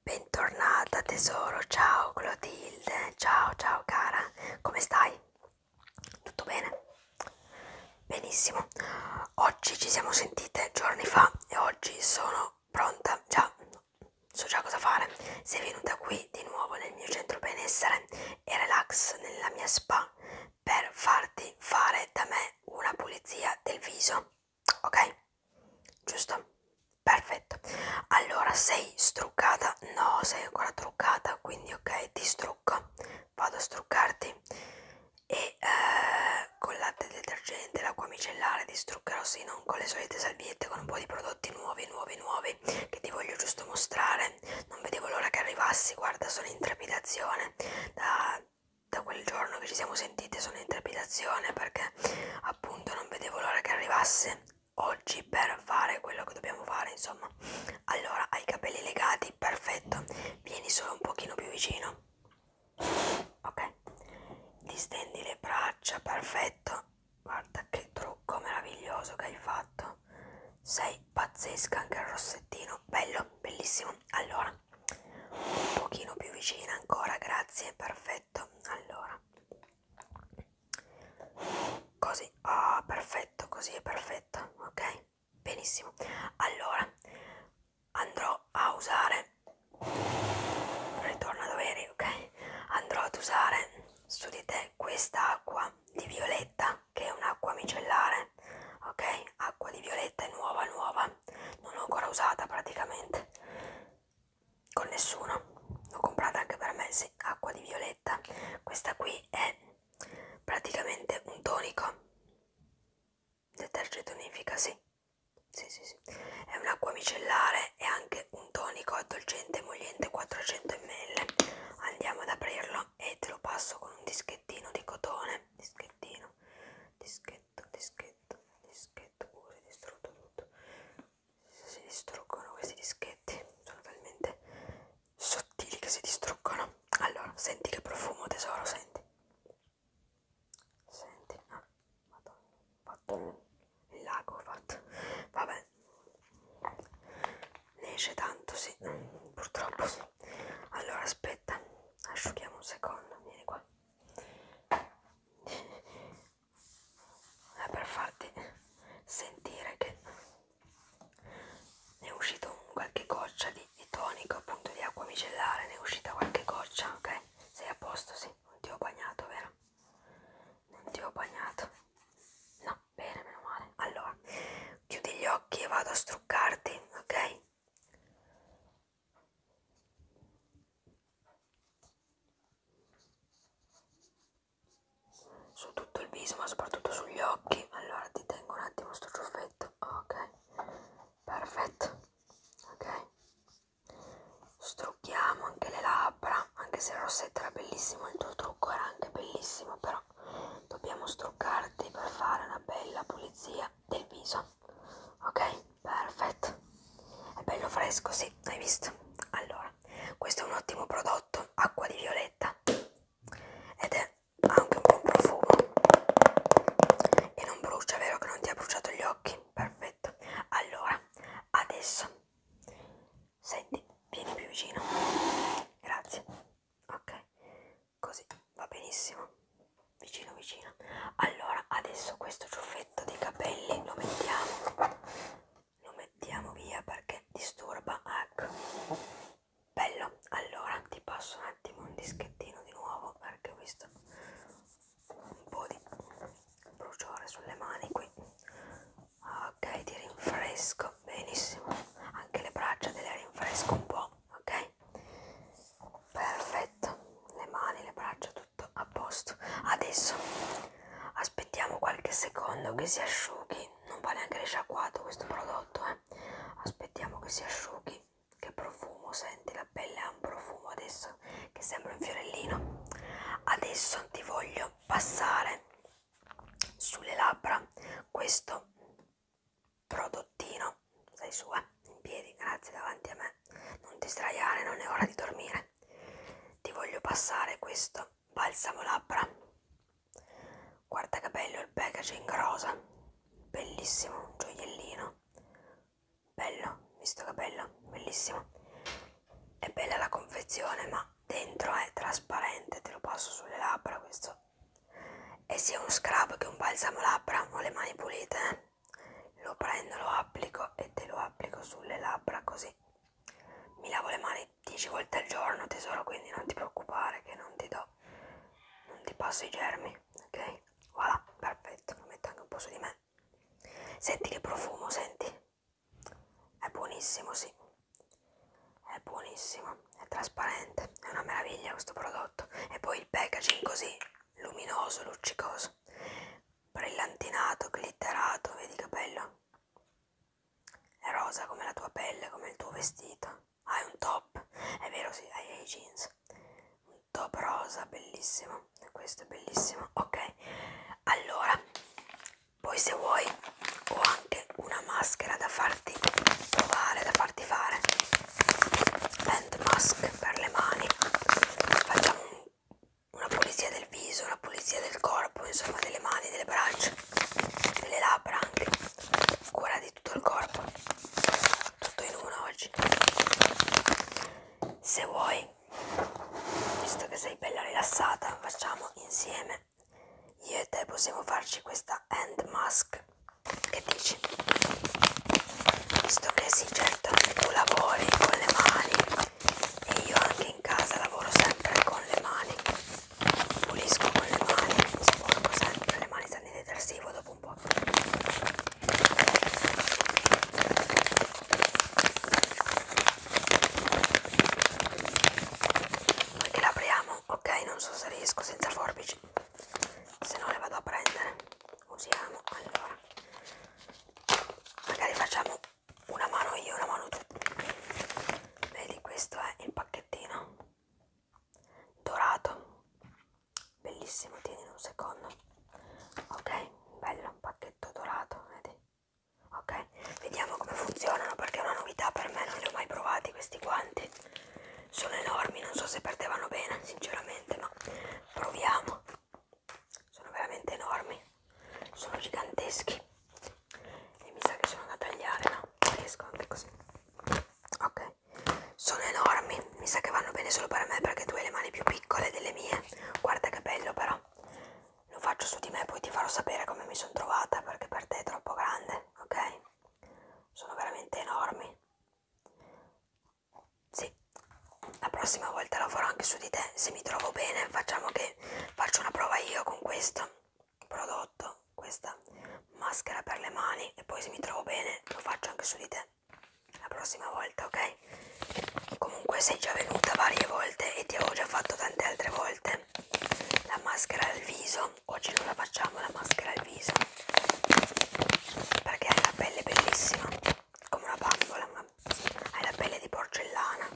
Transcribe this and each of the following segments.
Bentornata tesoro, ciao Clotilde, ciao ciao cara, come stai? Tutto bene? Benissimo, oggi ci siamo sentite giorni fa e oggi sono pronta, già so già cosa fare. Sei venuta qui di nuovo nel mio centro benessere e relax nella mia spa per farti fare da me una pulizia del viso. Ok? Giusto? Perfetto. Allora sei struccata? No, sei ancora truccata, quindi ok, ti strucco. Vado a struccarti e eh, con latte detergente, l'acqua micellare ti struccherò sino non con le solite salviette con un po' di prodotti nuovi nuovi nuovi che ti voglio giusto mostrare non vedevo l'ora che arrivassi guarda sono in trepidazione da, da quel giorno che ci siamo sentite sono in trepidazione perché appunto non vedevo l'ora che arrivasse oggi per fare quello che dobbiamo fare insomma allora hai i capelli legati perfetto vieni solo un pochino più vicino ok distendi le braccia perfetto Guarda che trucco meraviglioso che hai fatto. Sei pazzesca anche il rossettino. Bello, bellissimo. Allora, un pochino più vicina ancora, grazie, perfetto. Allora. Così, ah, oh, perfetto, così è perfetto, ok? Benissimo. Allora andrò a usare ritorno ad avere, ok? Andrò ad usare su di te questa acqua di violetta che è un'acqua micellare, ok? Acqua di violetta è nuova, nuova, non l'ho ancora usata praticamente con nessuno, l'ho comprata anche per me, sì, acqua di violetta. Questa qui è praticamente un tonico, detergente tonifica, sì. Sì, sì, sì. È un'acqua micellare e anche un tonico addolcente emoliente 400 ml. Andiamo ad aprirlo e te lo passo con un dischettino di cotone. Dischettino, dischetto, dischetto, dischetto. Uh, si è distrutto tutto. Si distruggono questi dischetti. Sono talmente sottili che si distruggono. Allora, senti che profumo, tesoro, senti. Senti, ah, madonna, ho fatto il lago, ho fatto, vabbè, ne esce tanto, sì, purtroppo sì. Allora, aspetta, asciughiamo un secondo, vieni qua. È eh, per farti sentire che ne è uscito qualche goccia di, di tonico, appunto di acqua micellare, ne è uscita qualche goccia, ok? Sei a posto, sì non ti ho bagnato, vero? Non ti ho bagnato. No, bene, meno male. Allora, chiudi gli occhi e vado a struccarti, ok? Su tutto il viso, ma soprattutto sugli occhi. Allora, ti tengo un attimo sto ciuffetto, ok? Perfetto, ok? Strucchiamo anche le labbra, anche se il rossetto era bellissimo, il tuo trucco era anche bellissimo, però dobbiamo struccarti per fare una bella pulizia del viso. Ok? Perfetto. È bello fresco, sì, hai visto? Allora, questo è un ottimo prodotto, acqua di violetta. Ed è anche un buon profumo. E non brucia, vero che non ti ha bruciato gli occhi? perfetto. Allora, adesso senti, vieni più vicino. Grazie. Ok, così va benissimo. Vicino, vicino. Allora, adesso questo ciuffetto di capelli lo mettiamo. Lo mettiamo via perché disturba. Ecco. Bello. Allora, ti passo un attimo un dischettino di nuovo perché ho visto un po' di bruciore sulle mani qui ok ti rinfresco benissimo anche le braccia te le rinfresco un po' ok perfetto le mani le braccia tutto a posto adesso aspettiamo qualche secondo che si asciughi non va neanche risciacquato questo prodotto eh. aspettiamo che si asciughi che profumo, senti, la pelle ha un profumo adesso che sembra un fiorellino. Adesso ti voglio passare sulle labbra questo prodottino. Sei su, eh? In piedi, grazie, davanti a me. Non ti sdraiare, non è ora di dormire. Ti voglio passare questo balsamo labbra. Guarda che bello il packaging rosa. Bellissimo, un gioiellino bello visto che bello bellissimo è bella la confezione ma dentro è trasparente te lo passo sulle labbra questo è sia un scrub che un balsamo labbra ho le mani pulite eh? lo prendo lo applico e te lo applico sulle labbra così mi lavo le mani 10 volte al giorno tesoro quindi non ti preoccupare che non ti do non ti passo i germi ok voilà, perfetto, lo metto anche un po' su di me. Senti che profumo, senti? È buonissimo, sì. È buonissimo, è trasparente, è una meraviglia questo prodotto. E poi il packaging così, luminoso, luccicoso, brillantinato, glitterato, vedi che bello? È rosa come la tua pelle, come il tuo vestito. Hai un top, è vero, sì, hai i jeans. Un top rosa bellissimo questo è bellissimo ok allora poi se vuoi ho anche una maschera da farti provare da farti fare hand mask per le mani facciamo una pulizia del viso una pulizia del corpo insomma delle mani delle braccia delle labbra anche cura di tutto il corpo tutto in uno oggi se vuoi visto che sei bella rilassata facciamo insieme io e te possiamo farci questa hand mask che dici visto che sì certo tu lavori con le mani e io anche in casa lavoro sempre con le mani pulisco con le mani sporco sempre le mani di detersivo dopo un po'. Perché la apriamo? Ok, non so se riesco senza forbici, se no le vado a prendere. Usiamo, allora, magari facciamo una mano io, una mano tu. Vedi, questo è il pacchettino dorato bellissimo tieni un secondo ok bello un pacchetto dorato vedi ok vediamo come funzionano perché è una novità per me non li ho mai provati questi guanti sono enormi non so se perdevano bene sinceramente ma proviamo sono veramente enormi sono giganteschi e mi sa che sono da tagliare no riesco anche così ok sono enormi, mi sa che vanno bene solo per me perché tu hai le mani più piccole delle mie. Guarda che bello però. Lo faccio su di me, poi ti farò sapere come mi sono trovata perché per te è troppo grande, ok? Sono veramente enormi. Sì, la prossima volta lo farò anche su di te. Se mi trovo bene, facciamo che faccio una prova io con questo prodotto questa maschera per le mani e poi se mi trovo bene lo faccio anche su di te la prossima volta ok comunque sei già venuta varie volte e ti avevo già fatto tante altre volte la maschera al viso oggi non la facciamo la maschera al viso perché hai la pelle bellissima come una bambola ma hai la pelle di porcellana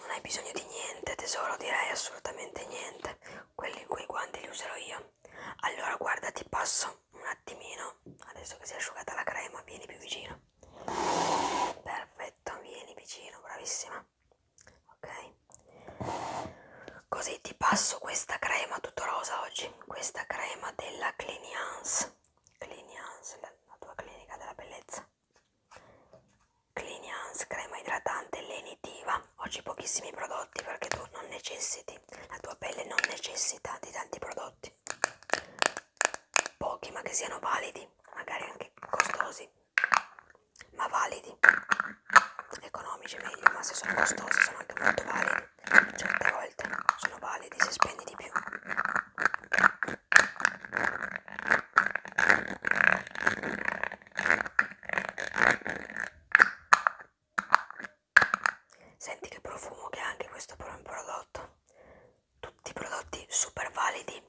non hai bisogno di niente, tesoro, direi assolutamente niente. Quelli quei guanti li userò io. Allora, guarda, ti passo un attimino. Adesso che si è asciugata la crema, vieni più vicino. Perfetto, vieni vicino, bravissima. Ok. Così ti passo questa crema tutto rosa oggi. Questa crema della Cliniance. Cliniance, la, la tua clinica della bellezza. Clinians, crema idratante lenitiva. Oggi pochissimi prodotti perché tu non necessiti, la tua pelle non necessita di tanti prodotti. Pochi ma che siano validi, magari anche costosi, ma validi. Economici meglio, ma se sono costosi sono anche molto validi. Certe volte sono validi se spendi di più. Senti che profumo che ha anche questo prodotto. Tutti prodotti super validi,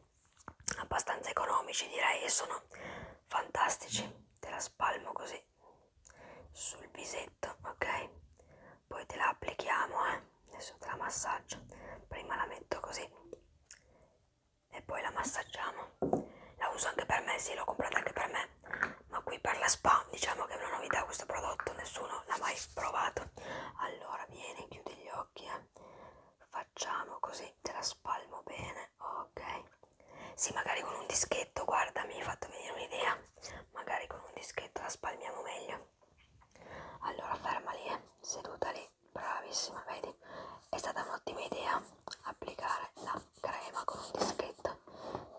abbastanza economici direi e sono fantastici. Te la spalmo così sul visetto, ok? Poi te la applichiamo, eh adesso te la massaggio prima la metto così e poi la massaggiamo la uso anche per me sì l'ho comprata anche per me ma qui per la spa diciamo che è una novità questo prodotto nessuno l'ha mai provato allora vieni chiudi gli occhi eh. facciamo così te la spalmo bene ok sì magari con un dischetto guarda mi hai fatto venire un'idea magari con un dischetto la spalmiamo meglio allora ferma lì eh. seduta lì bravissima vedi è stata un'ottima idea applicare la crema con un dischetto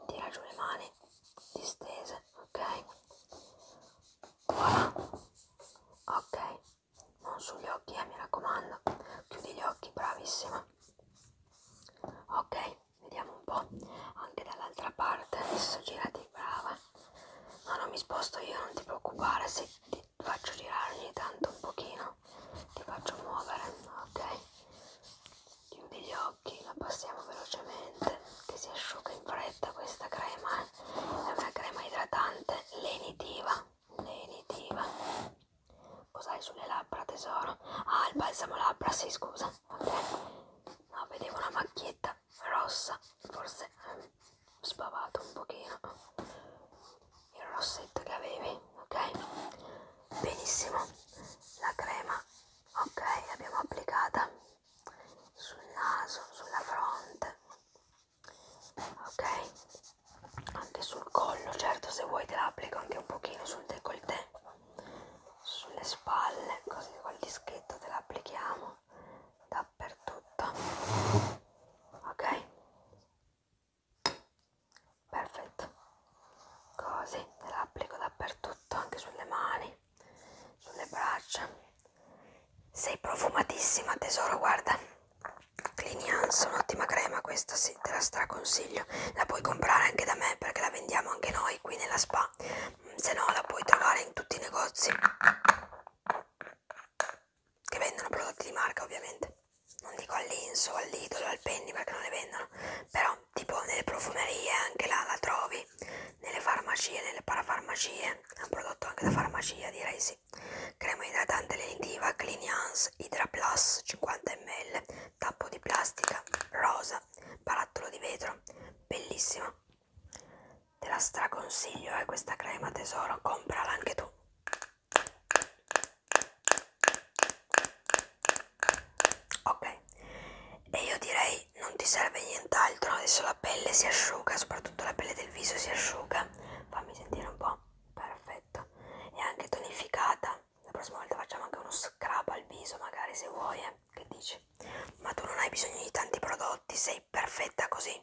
tira giù le mani distese ok voilà ok non sugli occhi eh, mi raccomando chiudi gli occhi bravissima ok vediamo un po' anche dall'altra parte adesso girati brava No, non mi sposto io, non ti preoccupare se ti faccio girare ogni tanto un pochino, ti faccio muovere, ok? Chiudi gli occhi, la passiamo velocemente, che si asciuga in fretta questa crema, eh? è una crema idratante lenitiva, lenitiva. Cos'hai sulle labbra tesoro? Ah, il balsamo labbra, sì, scusa, ok? No, vedevo una macchietta rossa, forse... Eh, sbavato un pochino il rossetto che avevi, ok? Benissimo, la crema, ok, l'abbiamo applicata sul naso, sulla fronte, ok? Anche sul collo, certo se vuoi te la applico anche un pochino sul décolleté, sulle spalle, così col dischetto te la applichiamo dappertutto ok perfetto così la applico dappertutto anche sulle mani sulle braccia sei profumatissima tesoro guarda Clinians un'ottima crema questa sì te la straconsiglio la puoi comprare anche da me perché la vendiamo anche noi qui nella spa se no la puoi trovare in tutti i negozi che vendono prodotti di marca ovviamente non dico all'Inso, all'Idolo, al Penny perché non le vendono però tipo nelle profumerie anche là la trovi nelle farmacie, nelle parafarmacie è un prodotto anche da farmacia direi sì crema idratante lenitiva Clinians Hydra Plus 50 ml tappo di plastica rosa barattolo di vetro bellissimo Te la straconsiglio, eh, questa crema tesoro, comprala anche tu. Ok, e io direi non ti serve nient'altro, adesso la pelle si asciuga, soprattutto la pelle del viso si asciuga. Fammi sentire un po', perfetto. È anche tonificata. La prossima volta facciamo anche uno scrub al viso, magari se vuoi. Eh. Che dici? Ma tu non hai bisogno di tanti prodotti, sei perfetta così?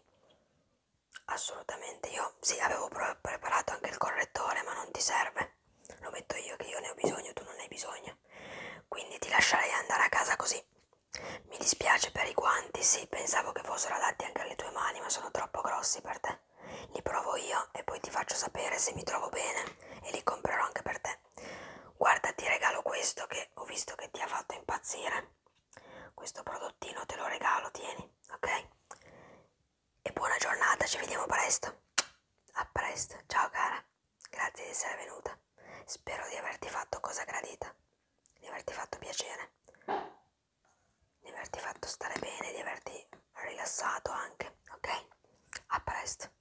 Assolutamente, io sì, avevo pre preparato anche il correttore, ma non ti serve. Lo metto io che io ne ho bisogno, tu non ne hai bisogno. Quindi ti lascerei andare a casa così. Mi dispiace per i guanti, sì, pensavo che fossero adatti anche alle tue mani, ma sono troppo grossi per te. Li provo io e poi ti faccio sapere se mi trovo bene e li comprerò anche per te niente guarda ti regalo questo che ho visto che ti ha fatto impazzire questo prodottino te lo regalo tieni ok e buona giornata ci vediamo presto a presto ciao cara grazie di essere venuta spero di averti fatto cosa gradita di averti fatto piacere di averti fatto stare bene di averti rilassato anche ok a presto